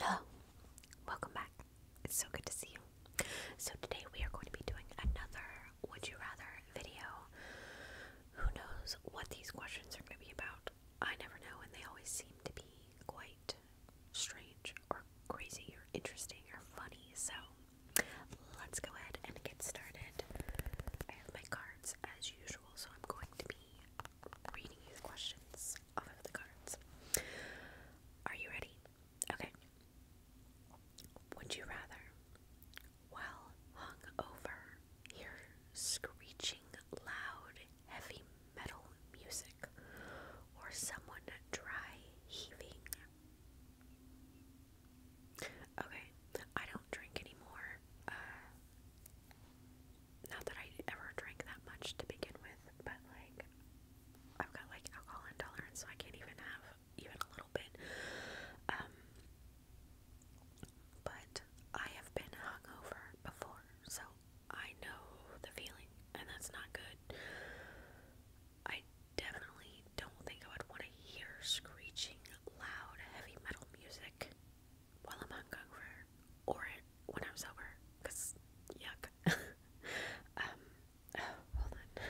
Hello, welcome back. It's so good to see you. So, today we are going to be doing another Would You Rather video. Who knows what these questions are going to be about? I never know, and they always seem to be quite strange or crazy or interesting or funny. So, let's go ahead and get started. I have my cards as usual, so I'm going to be reading you questions off of the cards. Are you ready? Okay. Would you rather, well hung over, hear screeching loud heavy metal music or someone dry heaving Okay, I don't drink anymore. Uh, not that I ever drank that much to begin with, but like I've got like alcohol intolerance, so I can't even have even a little bit. Um, but I have been hungover before, so I know the feeling, and that's not good. I definitely don't think I would want to hear screeching loud heavy metal music while I'm hungover or when I'm sober, cause yuck. um, oh, hold on.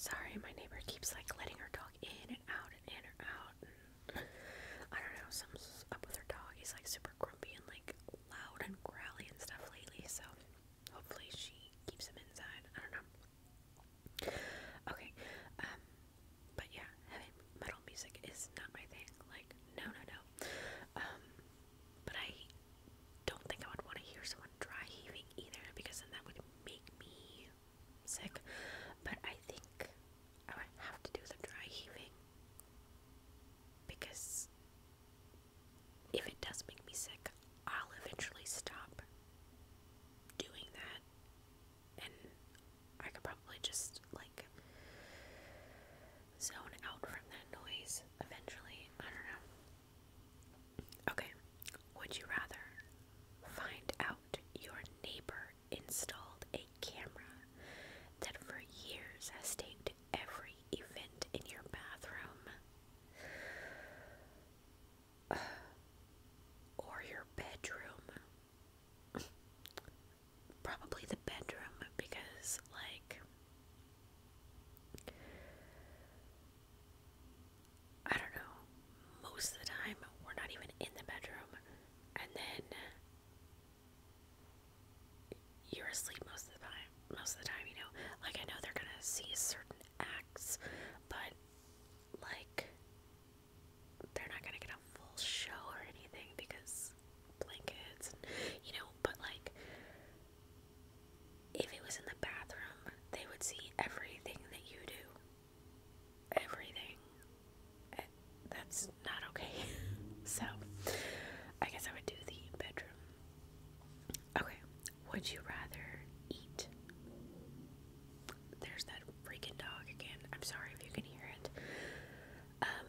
Sorry, my neighbor keeps like letting her dog in and out and in and out. And I don't know, something's up with her dog. He's like super grumpy and like loud and growly and stuff lately. So hopefully she keeps him inside. I don't know. Okay, um, but yeah, heavy metal music is not my thing. Like, no, no, no. Um, but I don't think I would want to hear someone dry heaving either because then that would make me sick. But I think I would have to do the dry heaving because if it does make me sick, I'll eventually stop doing that and I could probably just like zone out from that noise eventually. I don't know. Okay, would you rather find out your neighbor installed a camera that for years has taped every event in your bathroom? or your bedroom. Probably the bedroom because, like, I don't know, most of the time we're not even in the bedroom, and then you're asleep most of the time. Most of the time, you know, like I know they're gonna see certain acts, but like they're not gonna get a full show or anything because blankets, and, you know. But like, if it was in the bathroom, they would see everything that you do. Everything. And eh, that's not okay. so, I guess I would do the bedroom Okay, would you rather eat? There's that freaking dog again. I'm sorry if you can hear it. Um,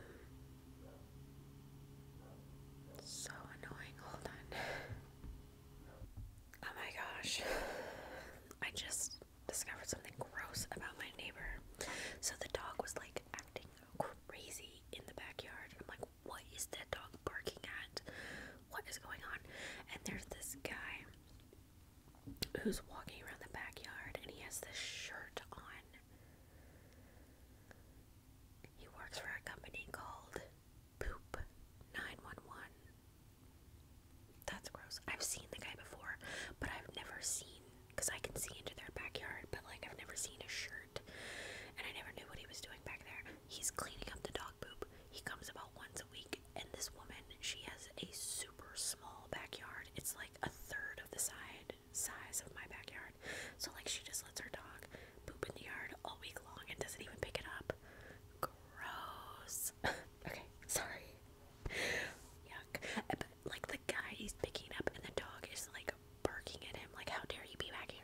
so annoying. Hold on. Oh my gosh. I just discovered something gross about my neighbor. So the dog was like acting crazy in the backyard. I'm like, what is that dog barking at? What is going on? And there's this guy who's walking around the backyard and he has this shirt on. He works for a company called Poop 911. That's gross. I've seen the guy before, but I've never seen because I can see into their backyard, but like I've never seen a shirt and I never knew what he was doing back there. He's cleaning up the dog poop. He comes about once a week, and this woman, she has a super small backyard. It's like a third of the side size of my backyard. So like she just lets her dog poop in the yard all week long and doesn't even pick it up. Gross. okay, sorry. Yuck. But like the guy he's picking up and the dog is like barking at him like how dare you be back here.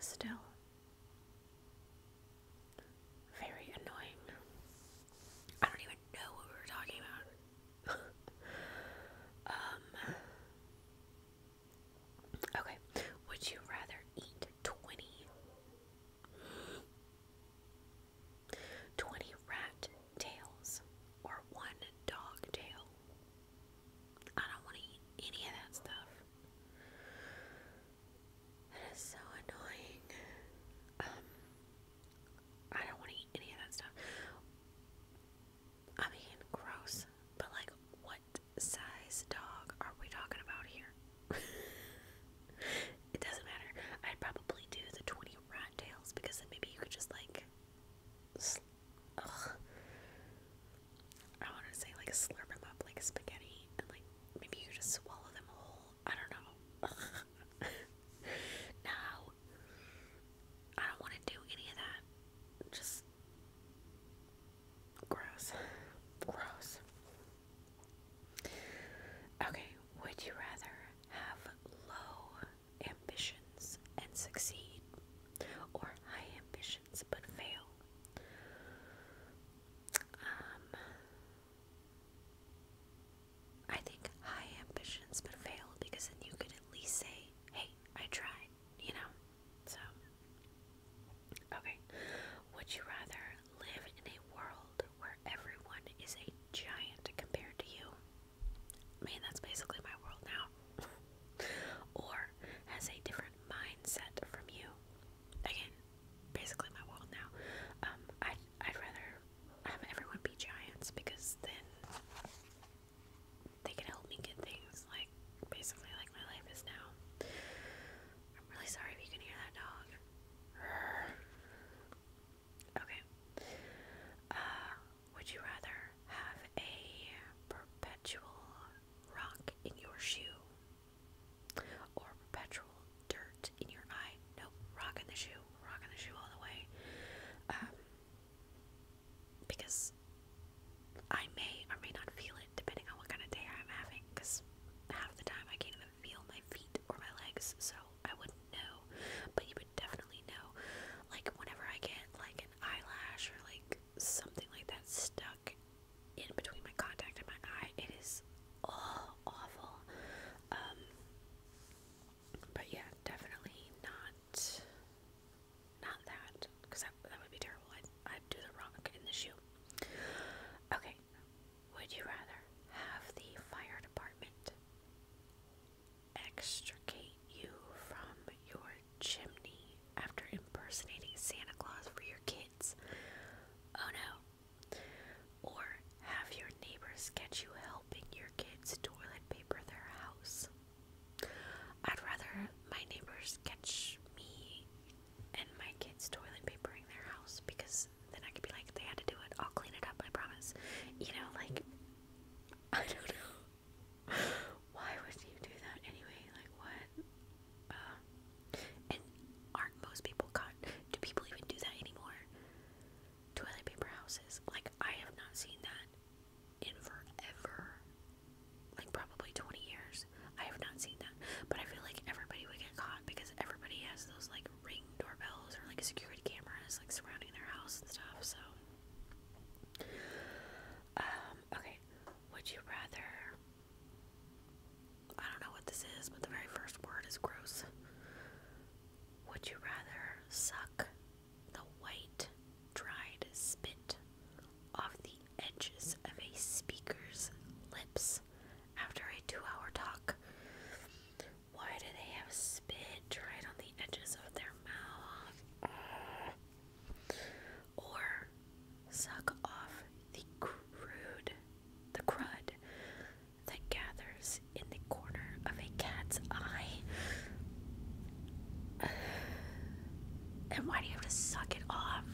Still very annoying. I don't even know what we were talking about. um Okay. Would you rather eat 20 rat tails or one dog tail? I don't want to eat any of that stuff. That is so annoying. Um, I don't want to eat any of that stuff. I mean, gross, but like, what size dog are we talking about here? it doesn't matter. I'd probably do the 20 rat tails because then maybe you could just like. I want to say like slurp them up like spaghetti, and like maybe you just swallow them whole. I don't know. no, I don't want to do any of that. Just gross, gross. Okay, would you rather have low ambitions and succeed, or high ambitions but fail. Um, I think high ambitions but fail because then you could at least say, hey, I tried, you know? So, okay. Would you rather live in a world where everyone is a giant compared to you? I that's basically my world now. or has a different mindset from you. Again, basically my world now. Um, i I'd rather have everyone be giants because then they can help me get things like basically like my life is now. I'm really sorry if you can hear that dog. Okay. Uh, would you rather have a perpetual rock in your shoe or perpetual dirt in your eye? Nope, rock in the shoe, rock in the shoe all the way. Um, because I may or may not feel it depending on what kind of day I'm having, because half the time I can't even feel my feet or my legs, so I wouldn't do but you would definitely know. Like whenever I get like an eyelash or like something like that stuck in between my contact and my eye, it is all awful. Um, but yeah, definitely not not that because that would be terrible. I'd I'd do the rock in the shoe. Okay, would you rather have the fire department extricate you from your chimney after impersonating Santa Claus for your kids. Oh no. Or have your neighbors catch you helping your kids toilet paper their house. I'd rather my neighbors catch me and my kids toilet papering their house because then I could be like, they had to do it. I'll clean it up, I promise. You know, like, I don't know. Why would you do that anyway? Like what? Um, and aren't most people caught? Do people even do that anymore? Toilet paper houses. Like I have not seen that in forever. Like probably 20 years. I have not seen that. But I feel like everybody would get caught because everybody has those like ring doorbells or like security cameras like surrounding their house and stuff. So um, okay. Would you rather I don't know what this is, but the very first word is gross. Would you rather suck the white dried spit off the edges of a speaker's lips after a two hour talk? Why do they have spit right on the edges of their mouth? Or suck off the crude, the crud that gathers in the corner of a cat's eye. And why do you have to suck it off?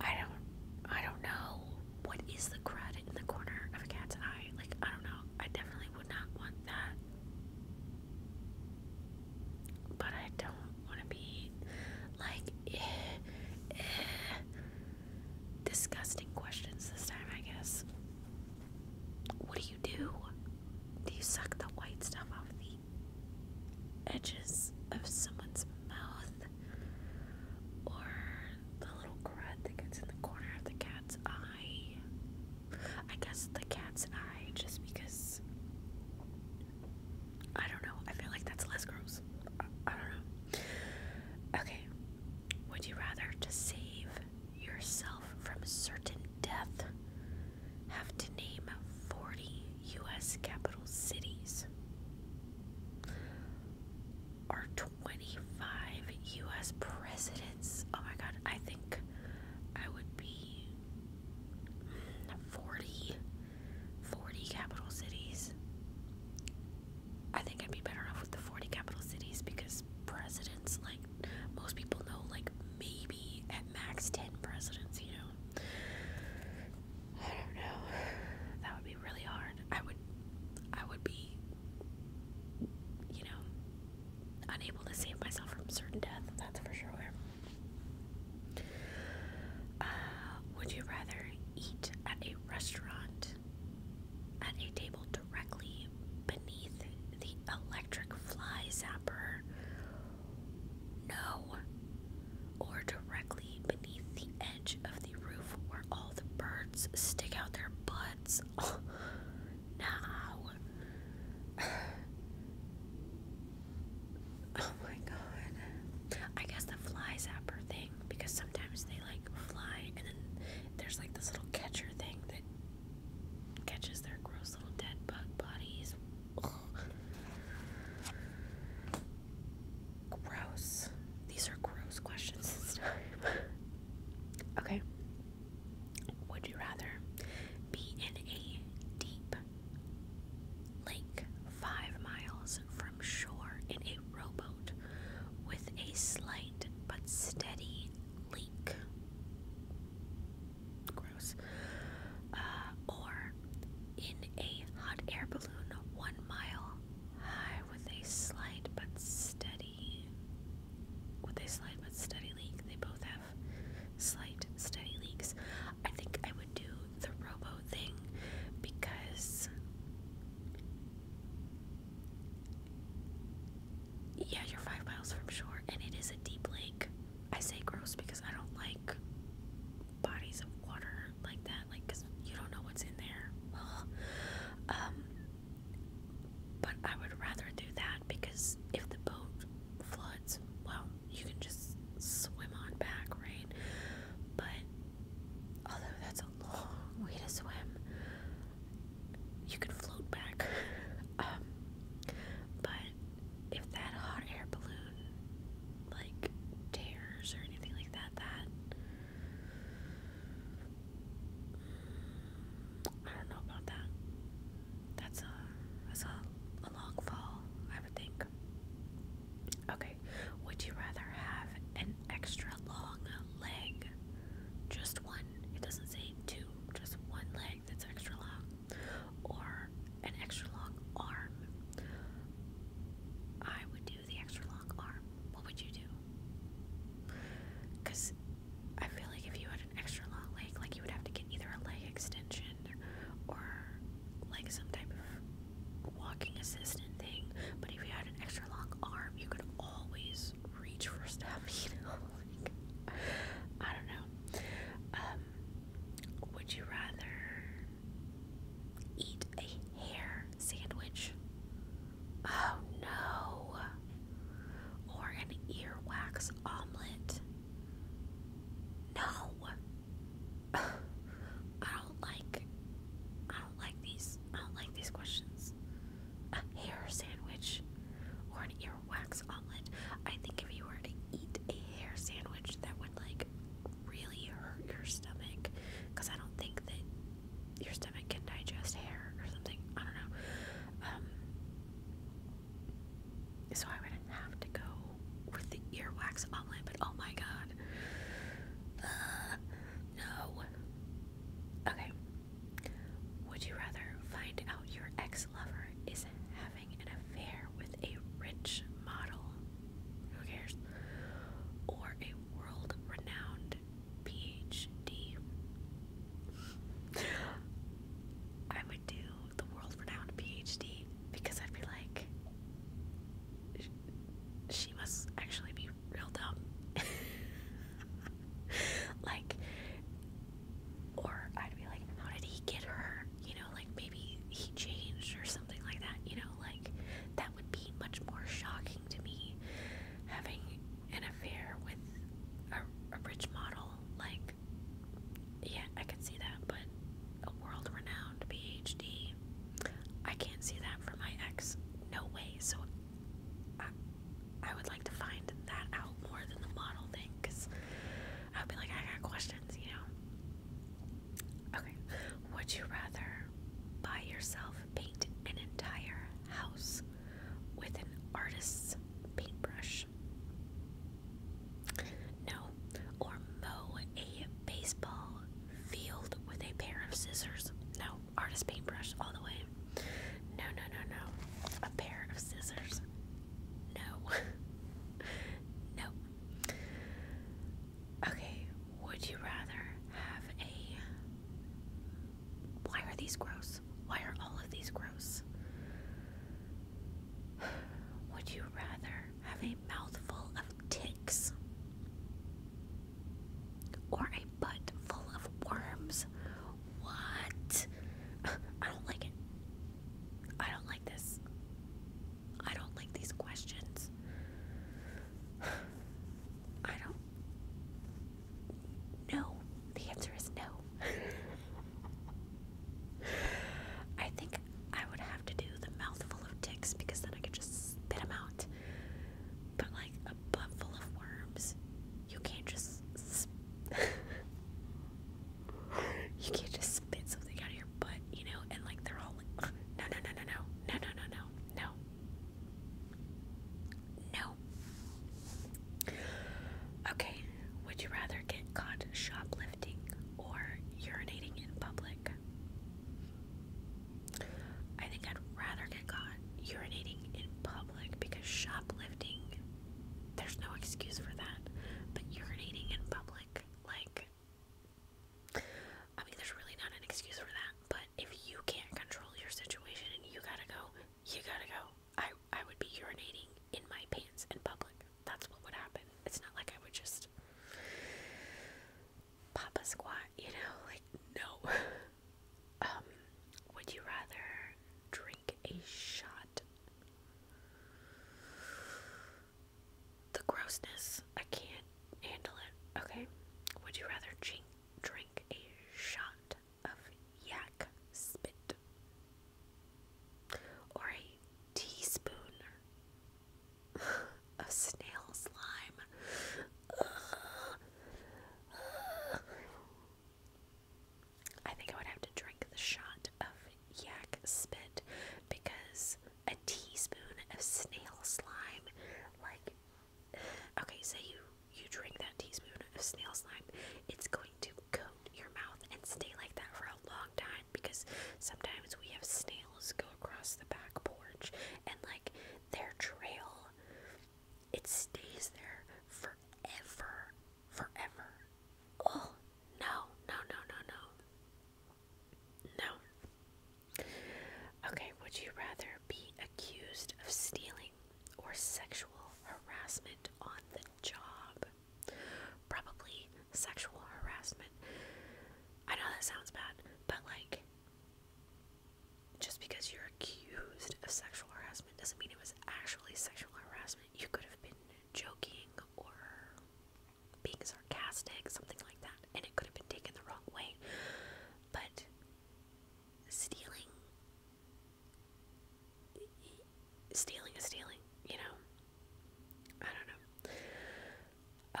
I don't I don't know what is the crud in the corner of a cat's eye? Like, I don't know. I definitely would not want that. But I don't want to be like, eh, eh, disgusting questions this time, I guess. What do you do? Do you suck the white stuff off the edges of someone's mouth or the little crud that gets in the corner of the cat's eye. I guess the cat's eye, just because I don't know. I feel like that's less gross. I, don't know. Okay, would you rather to save yourself from certain death have to name 40 U.S. capital cities? are 25 US presidents. Oh my god, I think I would be 40 40 capital cities. I think I'd be better off with the 40 capital cities because presidents like most people know like maybe at max 10 presidents, you know. I don't know. That would be really hard. I would I would be you know unable to save myself from certain death, that's for sure. Uh, would you rather eat at a restaurant at a table directly beneath the electric fly zapper? No or directly beneath the edge of the roof where all the birds stick out their butts. Oh, oh my god. I guess the fly zapper thing, because sometimes they like fly and then there's like this little catcher thing that catches their gross little dead bug bodies. Gross. These are gross questions this time. okay. Would you rather be in a deep lake five miles from shore in a rowboat with a slight but steady leak? Gross. Uh, or in a hot air balloon one mile high with a slight but steady with a slight but steady leak. They both have slight steady leaks. I think I would do the robo thing because yeah, you're five miles from shore and it is a deep lake. I say gross because I don't like bodies of water like that, like because you don't know what's in there. Well, Um, but I would rather do that because if the boat floods, well, you can just swim on back, right? But although that's a long way to swim, you can float back. um, but if that hot air balloon like tears or anything like that. That mm, I don't know about that. That's a that's a, a long fall, I would think. Okay, would you rather have an extra long leg? Just one. It doesn't say two. Just one leg that's extra long, or an extra long arm. I would do the extra long arm. What would you do? Because I feel like if you had an extra long leg, like you would have to get either a leg extension or like some type of walking assistant thing. But if you had an extra long arm, you could always reach for stuff, you I don't know. Um, would you rather Eat a hair sandwich. Oh no. Or an earwax omelet. No. I don't like I don't like these. I don't like these questions. A hair sandwich or an earwax omelet. I think if you were to eat a hair sandwich that would like really hurt your stomach because I don't think that your stomach can digest hair or something. I don't know. Um, so I would have to go with the earwax omelet, but oh my god. Uh, no. Okay. Would you rather find out your ex lover is half an affair with a rich model, who cares, or a world renowned PhD. I would do the world renowned PhD because I'd be like, she must actually be real dumb. like, or I'd be like, how did he get her? you know, like maybe he changed or something like that, you know, like that would be much more shocking to me having an affair with a, a rich model. Like, yeah, I could see that, but a world renowned PhD, I can't see that for my ex. No way. So, I, would like to find that out more than the model thing because I'd be like, I got questions, you know. Okay. Would you rather buy yourself paint an entire house with an artist's paintbrush? No. Or mow a baseball field with a pair of scissors? No. Artist paintbrush all the way. No, no, no, no. A pair of scissors? No. no. Okay, would you rather have a. Why are these gross? Why are all of these gross? Would you rather have a mouthful of ticks or a butt full of worms? What? I don't like it. I don't like this. I don't like these questions. I don't. No. The answer is no. I think I would have to do the mouthful of ticks because then I could just spit them out. But like a butt full of worms, you can't just. You can just spit something out of your butt, you know, and like they're all like, no, no, no, no, no, no, no, no, no. No. Okay, would you rather get caught shoplifting or urinating in public? I think I'd rather get caught urinating in public because shoplifting, there's no excuse for that. But urinating in public, public. Like, I mean, there's really not an excuse for that. But if you can't control your situation and you gotta go, you gotta go. I I would be urinating in my pants in public. That's what would happen. It's not like I would just pop a squat, you know? Like, no. um, would you rather drink a shot the grossness, I can't handle it, okay? Would you rather drink, a shot of yak spit or a teaspoon of snail slime? I think I would have to drink the shot of yak spit because a teaspoon of snail slime, like, okay, say so you you drink that teaspoon of snail slime, it's going to coat your mouth and stay like that for a long time because sometimes we have snails go across the back porch and like their trail it stays there forever forever oh no, no, no, no, no. No. Okay, would you rather be accused of stealing or sexual harassment on the job? Probably sexual harassment. I know that sounds bad, but like, just because you're accused of sexual harassment doesn't mean it was actually sexual harassment. You could have been joking or being sarcastic, something like that, and it could have been taken the wrong way. But stealing, stealing is stealing, you know? I don't know.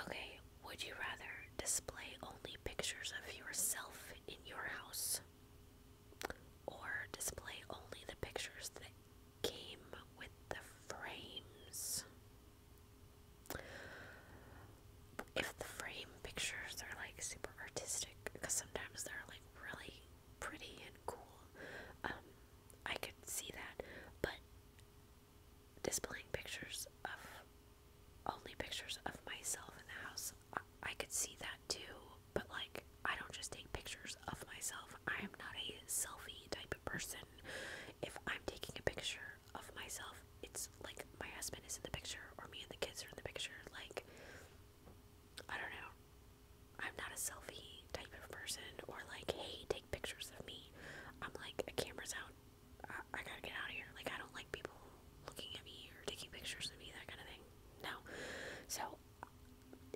Okay, would you rather display only pictures of yourself in your house or display only the pictures that came with the frames. If the frame pictures are like super artistic, because sometimes they're like really pretty and cool, um, I could see that, but displaying pictures of only pictures of myself in the house, I could see that too, but like I don't just take pictures of myself. I am not a selfie type of person. If I'm taking a picture of myself, it's like my husband is in the picture or me and the kids are in the picture. Like I don't know. I'm not a selfie type of person or like, hey, take pictures of me. I'm like, a camera's out. I, I gotta get out of here. Like, I don't like people looking at me or taking pictures of me, that kind of thing. No. So,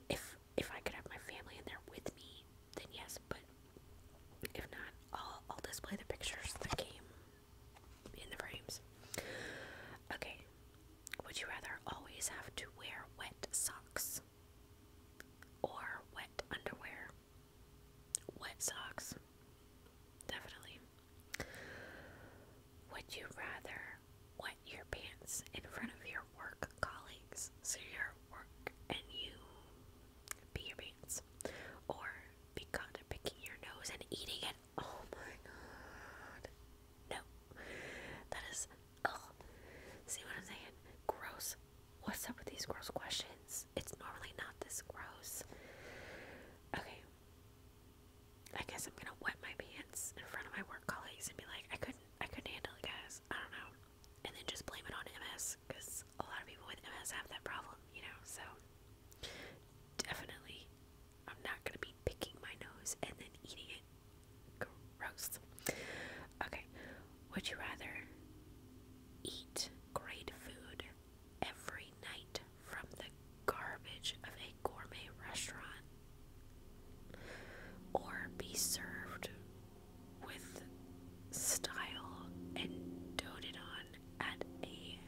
if if I could have my family in there with me, then yes, but if not, I'll, I'll display the pictures that came in the frames. Okay, would you rather always have to wear wet socks or wet underwear? Wet socks, definitely. Would you rather what your pants in front of your work colleagues. So you work and you pee your pants. Or be caught picking your nose and eating it. Oh my god. No. That is ugh. See what I'm saying? Gross. What's up with these gross questions? It's normally not this gross. Okay. I guess I'm gonna wet my pants in front of my work colleagues and be like, I couldn't, I couldn't handle it, guys. I don't know, and then just blame it on MS because a lot of people with MS have that problem, you know. So definitely, I'm not gonna be picking my nose and then eating it. Gross. Okay, would you rather eat great food every night from the garbage of a gourmet restaurant? or be served with style and doted on at a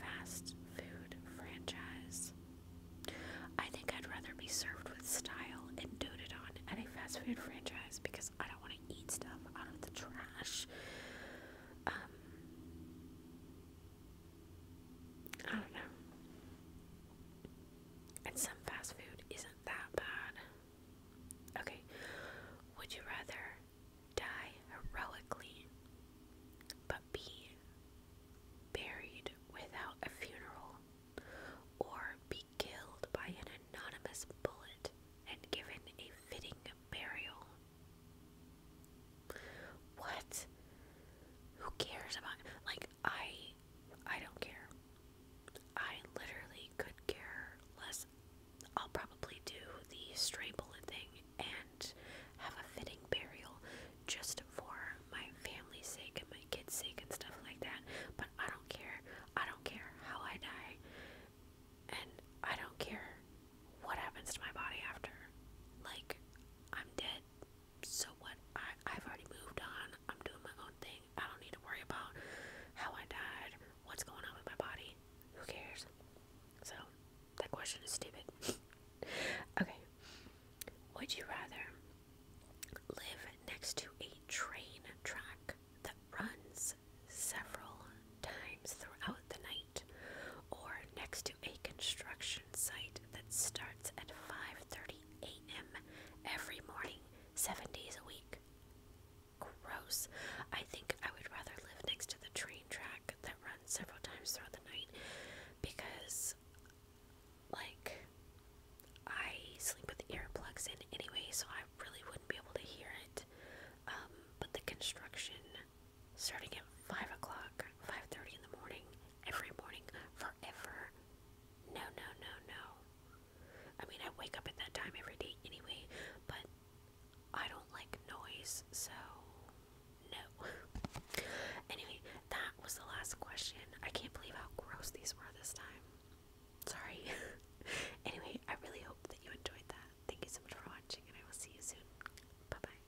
fast food franchise. I think I'd rather be served with style and doted on at a fast food franchise because I don't want to eat stuff out of the trash. Um, I don't know. And some fast food isn't that bad. Okay, would you rather die heroically but be buried without a funeral or be killed by an anonymous bullet and given a fitting burial? What? Who cares about like I I don't care. I literally could care less. I'll probably do the stray bullet thing and have a fitting burial just for my family's sake and my kids' sake and stuff like that. But I don't care. I don't care how I die. And I don't care what happens to my body after. Like, I'm dead so what? I, I've already moved on. I'm doing my own thing. I don't need to worry about how I died, what's going on with my body. Who cares? So, that question is stupid. okay. Would you rather live next to a train track that runs several times throughout the night, or next to a construction site that starts? at 5:30 a.m. every morning, 7 days a week. Gross. I think I would rather live next to the train track that runs several times throughout the night because like I sleep with earplugs in anyway, so I really wouldn't be able to hear it. Um, but the construction starting at five o'clock, five thirty in the morning, every morning, forever. No, no, no, no. I mean, I wake up at that time every day anyway, but I don't like noise, so no. anyway, that was the last question. I can't believe how gross these were this time. Sorry. anyway, I really hope that you enjoyed that. Thank you so much for watching, and I will see you soon. Bye bye.